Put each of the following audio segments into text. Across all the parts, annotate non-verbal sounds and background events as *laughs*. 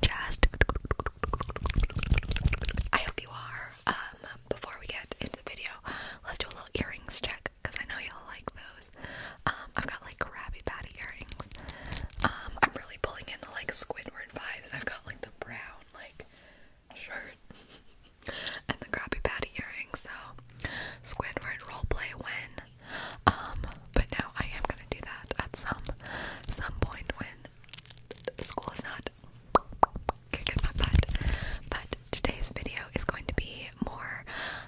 good. I hope you are. Um, before we get into the video, let's do a little earrings check because I know y'all like those. Um, I've got like Krabby Patty earrings. Um, I'm really pulling in the like Squidward vibes. I've got like the brown like shirt *laughs* and the Krabby Patty earrings. So Squidward roleplay when. Um, but no, I am gonna do that at some some point when when school is not kicking my butt. But today's video is going to be more,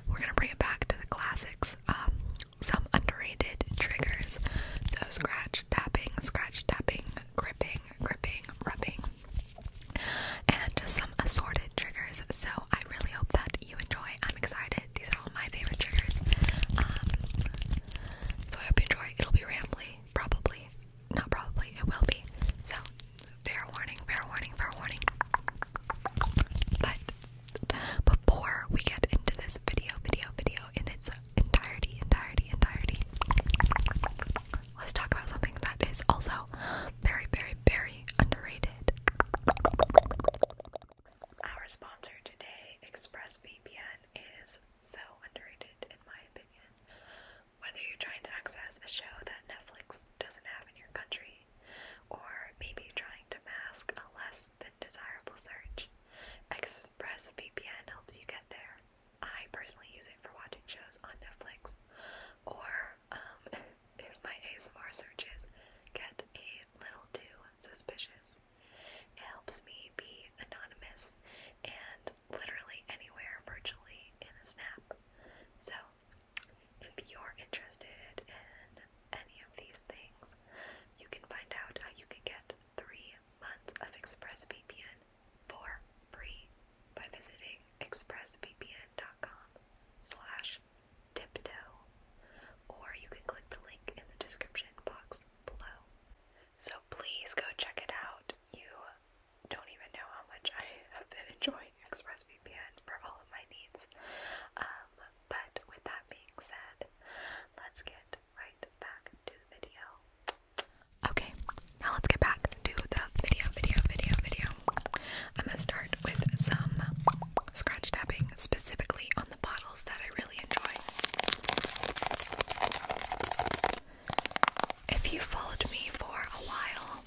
we're going to bring it back to the classics, um, some underrated triggers. So scratch, tapping, scratch, tapping, gripping, gripping, rubbing, and just some assorted triggers. So I really hope that you enjoy. I'm excited these are all my favorite triggers. Um, so I hope you enjoy. It'll be rambly, probably. Not probably, it will be. So, fair warning, fair warning, fair warning. But before we get into this video, video, video in its entirety, entirety, entirety, let's talk about something that is also very, very, very underrated. Our sponsor today, ExpressVPN, is so underrated, in my opinion. Whether you're trying to access a show that Netflix doesn't have in your country, or maybe trying to mask a less than desirable search, ExpressVPN helps you get there. I personally use it for watching shows on Netflix, or um, *laughs* if my ASMR searches get a little too suspicious. It helps me be anonymous and literally anywhere virtually in a snap. So, if you're interested in any of these things, you can find out how you can get three months of ExpressVPN for free by visiting expressvpn.com slash tiptoe or you can click the link in the description box below. So please go check it out. You don't even know how much I have been *laughs* enjoying ExpressVPN for all of my needs. Um, but with that being said, let's get right back to the video. Okay, now let's get back to the video, video, video, video. I'm gonna start with some scratch tapping specifically on the bottles that I really if you followed me for a while,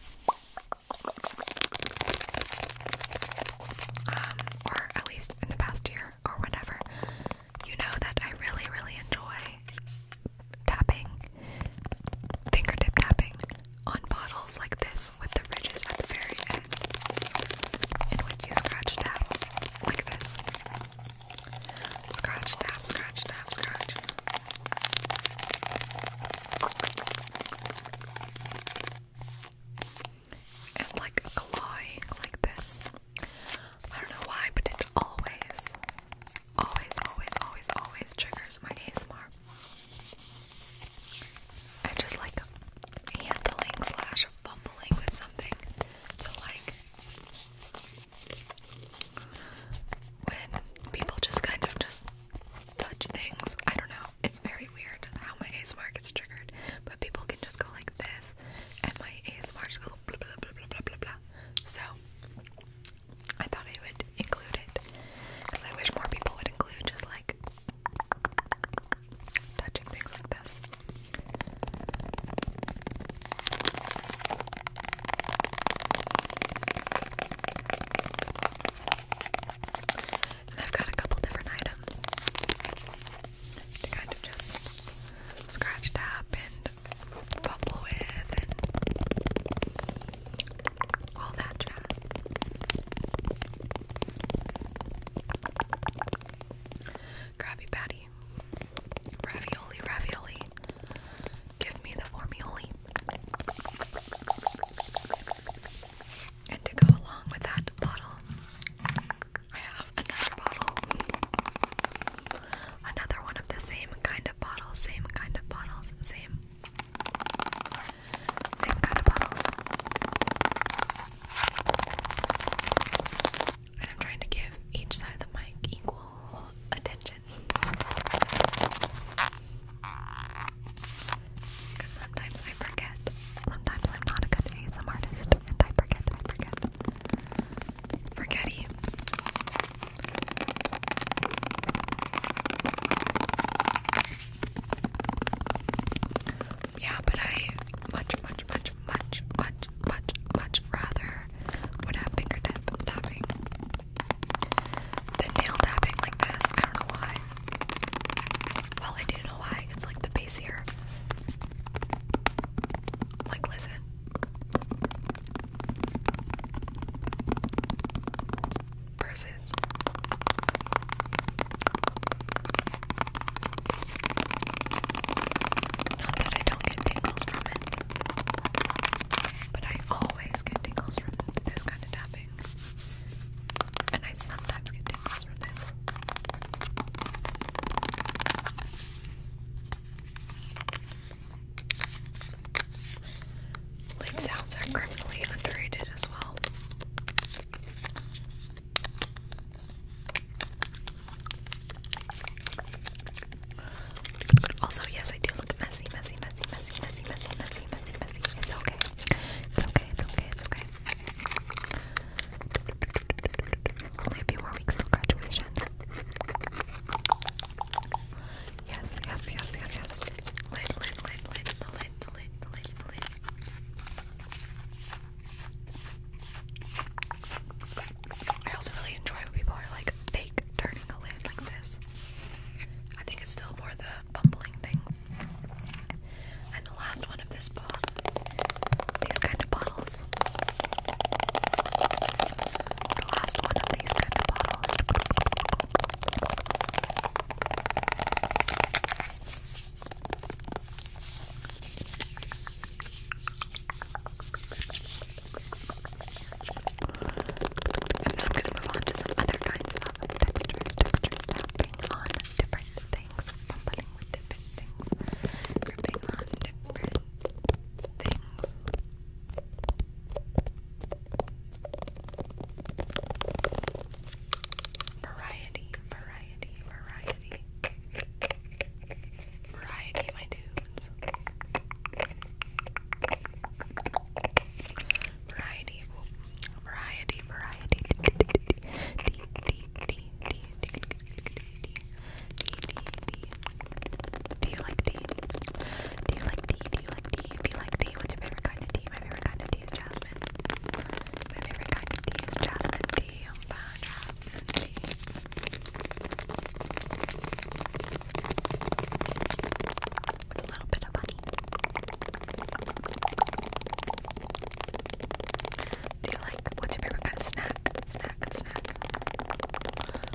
um, or at least in the past year or whatever, you know that I really, really enjoy tapping, fingertip tapping on bottles like this with the ridges at the very end. And when you scratch it out, like this. Scratch, tap, scratch, tap, scratch. And like clawing like this. I don't know why, but it always, always, always, always, always triggers my ASMR. I just like handling slash fumbling with something. So, like, when people just kind of just touch things, I don't know. It's very weird how my mark gets triggered, but people can just go like this, and my ASMR just goes blah blah blah blah blah blah blah. So, I thought I would include it because I wish more people would include just like touching things like this. And I've got a couple different items to kind of just scratch tap and fumble with and all that jazz. Krabby Patty ravioli. Ravioli, Give me the formioli. And to go along with that bottle, I have another bottle. Another one of the same kind of bottles, same kind of bottles, same. Same kind of bottles. And I'm trying to give each side of the mic equal attention. Because sometimes I forget. Sometimes I'm not a good ASM artist, and I forget, I forget. Forgetty yeah, but I much, much, much, much, much, much, much rather would have fingertip tapping than nail tapping like this. I don't know why. Well, I do know why. It's like the base Like, listen. Versus not that I don't get tingles from it, but I always get tingles from this kind of tapping. And I sometimes get tingles from this. Lid sounds are criminally underrated as well. Also, yes, I do look messy, messy, messy, messy, messy, messy, messy, messy, messy. It's okay. It's okay. It's okay. It's okay. Only a few more weeks till graduation. Yes, yes, yes, yes, yes. Lit, lit, lit, lit, lit, lit, lit, lit. I also really enjoy when people are like fake turning a lid like this. I think it's still more the bumbling thing. And the last one of this pod, these kind of bottles. The last one of these kind of bottles. And then I'm going to move on to some other kinds of textures, textures tapping on different things, bumbling with different things, gripping on different things. Variety, variety, variety, variety, my dudes. Variety, variety, variety. Do you like tea? Do you like tea? Do you like tea? If you like tea, what's your favorite kind of tea? My favorite kind of tea is jasmine. My favorite kind of tea is jasmine tea. With a little bit of money. Do you like what's your favorite kind of snack? Snack, snack.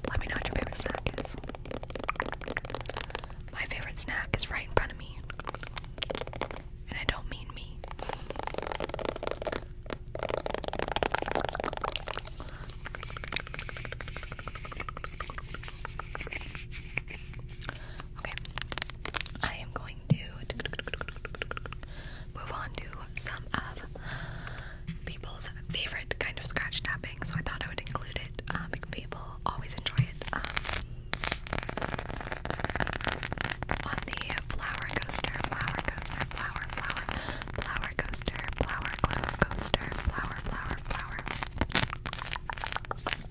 Let me know what your favorite snack is. My favorite snack is right in front of me and I don't mean me. Okay, I am going to move on to some of people's favorite kind of scratch tapping, so I thought I would include it. Um, people always enjoy it. Um, on the flower coaster, flower coaster flower, flower, flower coaster, flower, flower coaster, flower, flower, flower. Flower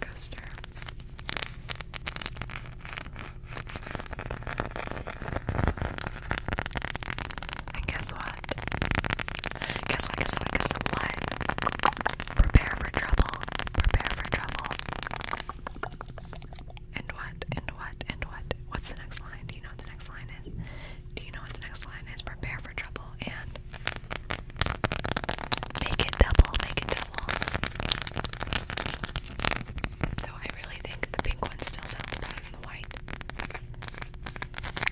coaster. And guess what? Guess what? Guess what? Guess what? Prepare for trouble. Prepare for trouble. And what? And what? And what? What's the next line? Do you know what the next line is? Do you know what the next line is? Prepare for trouble and make it double. Make it double. Though I really think the pink one still sounds better than the white.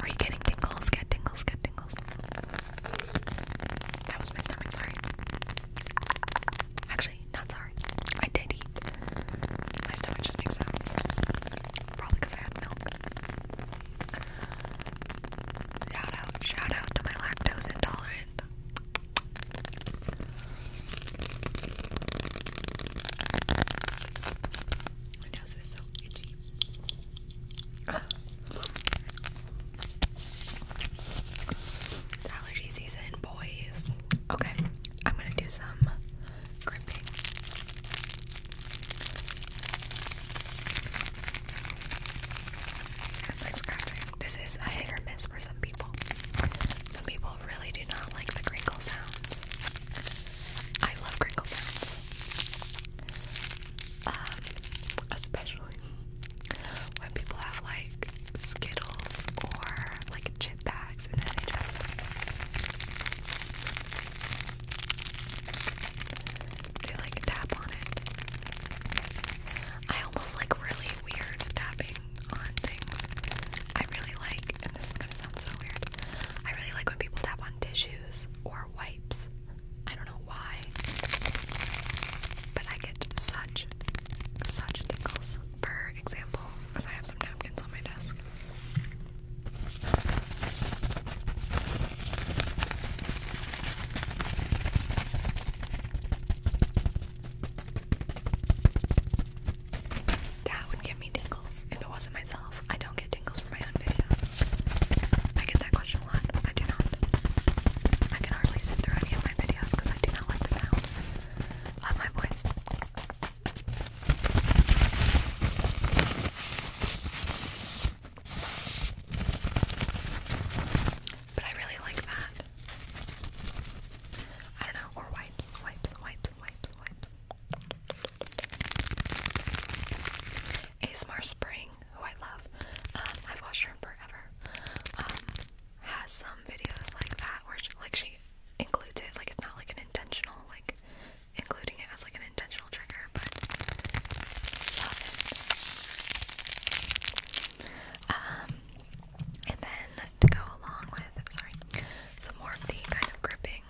Are you getting tingles? Get tingles, get tingles. That was my stomach, sorry. Actually, not sorry. I did eat. My stomach just makes sounds. Probably because I had milk. Shout out, shout out to my lactose intolerant my nose is so itchy. It's *sighs* allergy season, boys. Okay, I'm gonna do some gripping. And like scratching. This is a hit or miss for some people. Some people really do not like the crinkle sounds. I love crinkle sounds. Um, especially when people have like Skittles or like chip bags and then they just they like tap on it. I almost like really weird tapping on things. I really like, and this is gonna sound so weird, I really like when people tap on tissues or wipes. I don't know why, but I get such, such tingles. For example, because I have some napkins on my desk. That would give me tingles if it wasn't myself. I don't get tingles from my own videos. I get that question a lot. I do not. I can hardly sit through any of my videos because I do not like the sound of my voice. But I really like that. I don't know, or wipes, wipes, wipes, wipes, wipes. ASMR Spring, who I love, um, I've watched her forever, um, has some videos like that where like she includes it, like it's not like an intentional, like including it as like an intentional trigger, but love it. Um, and then to go along with, sorry, some more of the kind of gripping.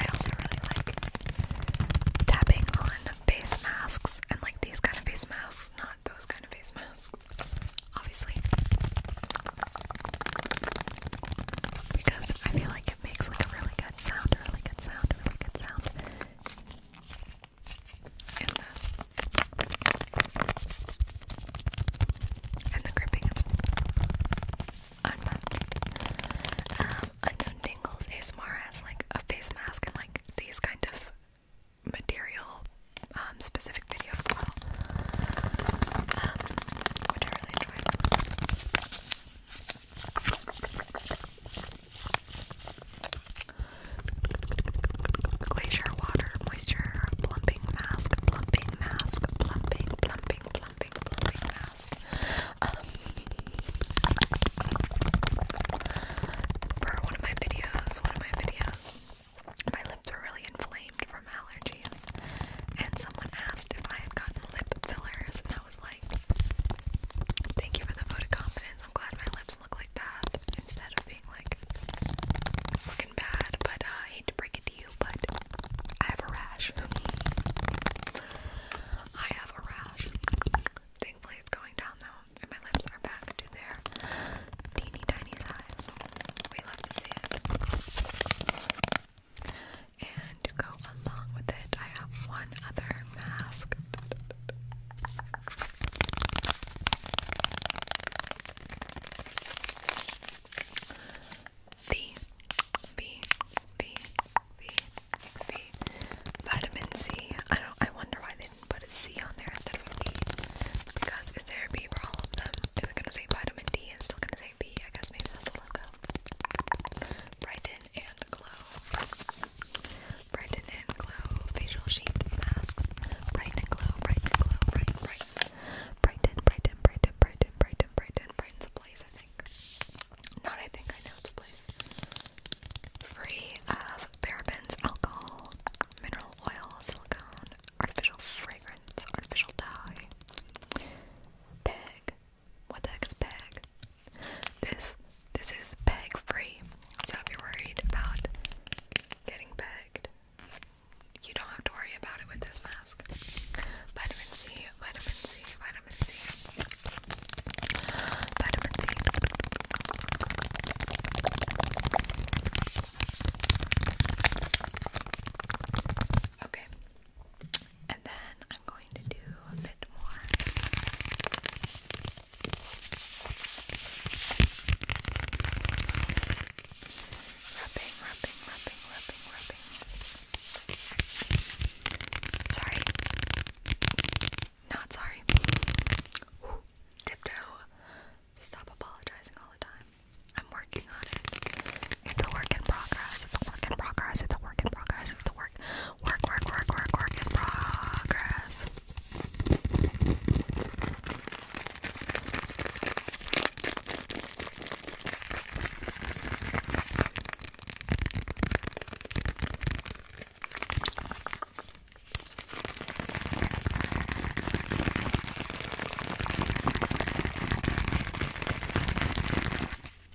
I also really like tapping on face masks and like these kind of face masks, not those kind of face masks, obviously. Because I feel like it makes like a really good sound, a really good sound, a really good sound and the and the gripping is unmatched. Um, Unknown Dingles ASMR has like a face mask and like these kind of material um, specific videos as well, um, which I really enjoy. Glacier water moisture plumping mask, plumping mask, plumping, plumping, plumping, plumping mask. Um, for one of my videos, one of my videos, my lips were really inflamed from allergies, and someone asked if I had gotten lip fillers, and I was like, "Thank you for the vote of confidence. I'm glad my lips let look like that instead of being like looking bad. But uh, I hate to break it to you, but I have a rash. I have a rash. Thankfully, it's going down though, and my lips are back to their teeny tiny size. We love to see it. And go along with it, I have one other mask V, V, V, V, V. Vitamin C. I don't. I wonder why they didn't put a C on there instead of a B. Because is there a B for all of them? Is it gonna say vitamin D? and still gonna say B. I guess maybe that's the logo. Brighten and glow. Brighten and glow facial sheet masks. Brighten and glow, brighten and glow, brighten, brighten. Brighten, brighten, brighten, brighten, brighten, brighten's a place, I think. Not I think I know it's a place. Free of parabens, alcohol, mineral oil, silicone, artificial fragrance, artificial dye. Peg. What the heck is peg? This this is peg free, so if you're worried about getting pegged, you don't have to worry about it with this mask. Vitamin C, vitamin C, vitamin C, vitamin C. Okay, and then I'm going to do a bit more. Rubbing, rubbing, rubbing, rubbing, rubbing. Sorry. Not sorry. Ooh, tiptoe. Stop apologizing all the time. I'm working on it. It's a work in progress. It's a work in progress. It's a work in progress. It's a work work work work work in progress.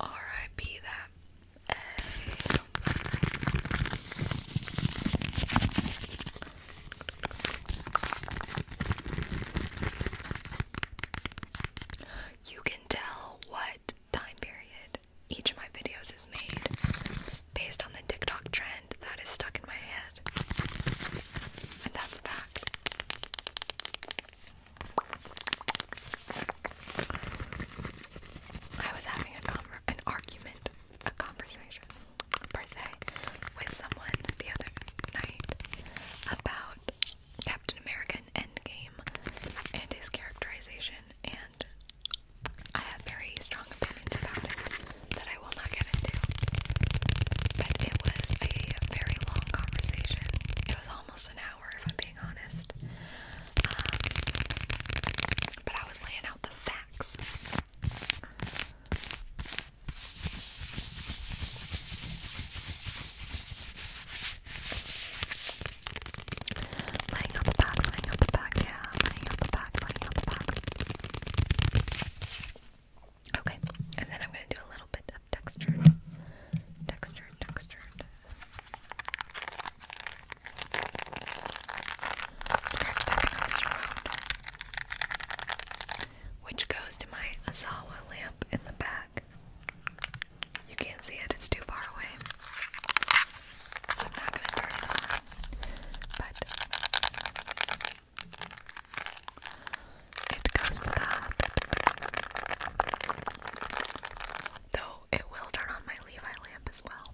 R.I.P. that you can tell what time period each of my videos is made based on the TikTok trend that is stuck in my head. And that's a fact. I was having a an argument a conversation per se with someone the other night about Captain America and Endgame and his characterization, and I have very strong opinions about it that I will not get into. But it was a very long conversation. It was almost an hour, if I'm being honest. Um, but I was laying out Laying out the back, laying out the back, yeah, laying out the back, laying out the back. Okay, and then I'm going to do a little bit of textured, textured, textured. Which goes to my Azawa lamp in the back. You can't see it, it's too far away. So I'm not gonna turn it on. But it goes to that. Though it will turn on my Levi lamp as well.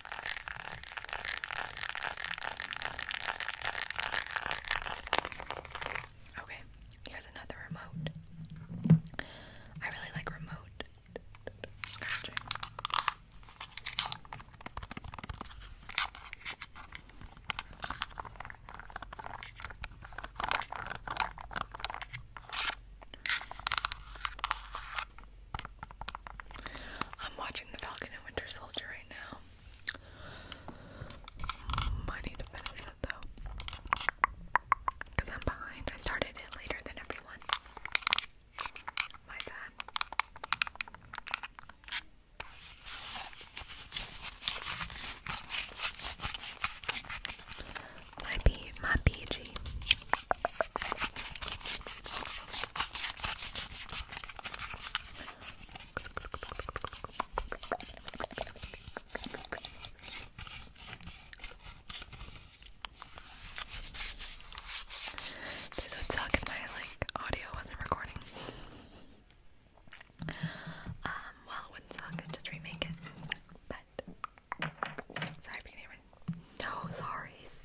Okay, here's another remote. I really like remote I'm watching The Falcon and Winter Soldier right now. I need to finish it though. Because I'm behind. I started it later than everyone. My bad. My B, my BG. This would suck if my like audio wasn't recording. Um, well, it wouldn't suck. just remake it. But sorry, if you can hear me. No, sorry.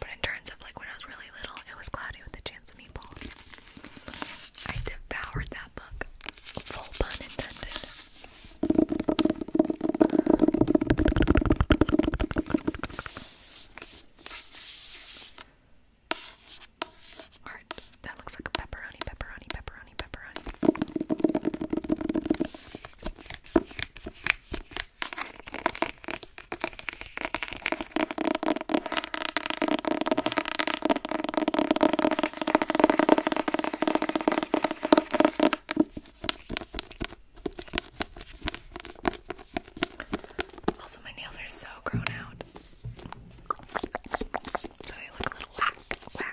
But in terms of like when I was really little, it was Cloudy with a Chance of Meatballs. I devoured that book, full pun intended. Alright, that looks like a pepperoni, pepperoni, pepperoni, pepperoni. Also, my nails are so grown out. So they look a little whack, whack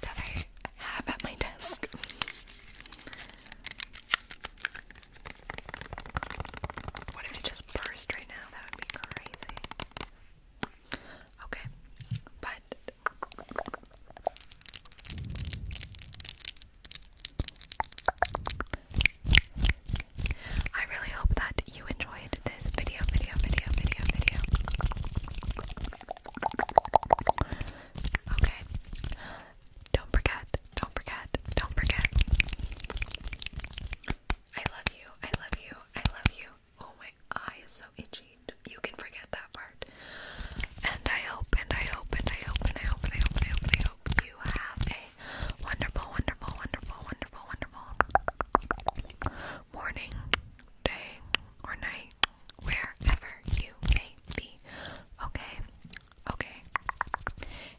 that I have at my desk. What if it just burst right now? That would be crazy. Okay, but I really hope that you enjoyed this video, video, video, video, video. Okay. Don't forget. Don't forget. Don't forget. I love you. I love you. I love you. Oh my eye is so itchy. You can forget that part. And I hope and I hope and I hope and I hope and I hope and I hope and I hope you have a wonderful, wonderful, wonderful, wonderful, wonderful morning, day, or night, wherever you may be. Okay, okay.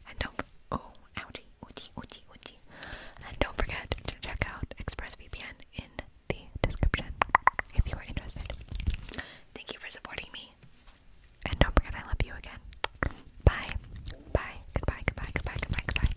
And don't oh ouchie, ouchie, ouchie, ouchie. And don't forget to check out ExpressVPN in the description if you are interested. Thank you for supporting me. And don't forget I love you again. Bye. Bye. Goodbye. Goodbye. Goodbye. Goodbye. Goodbye.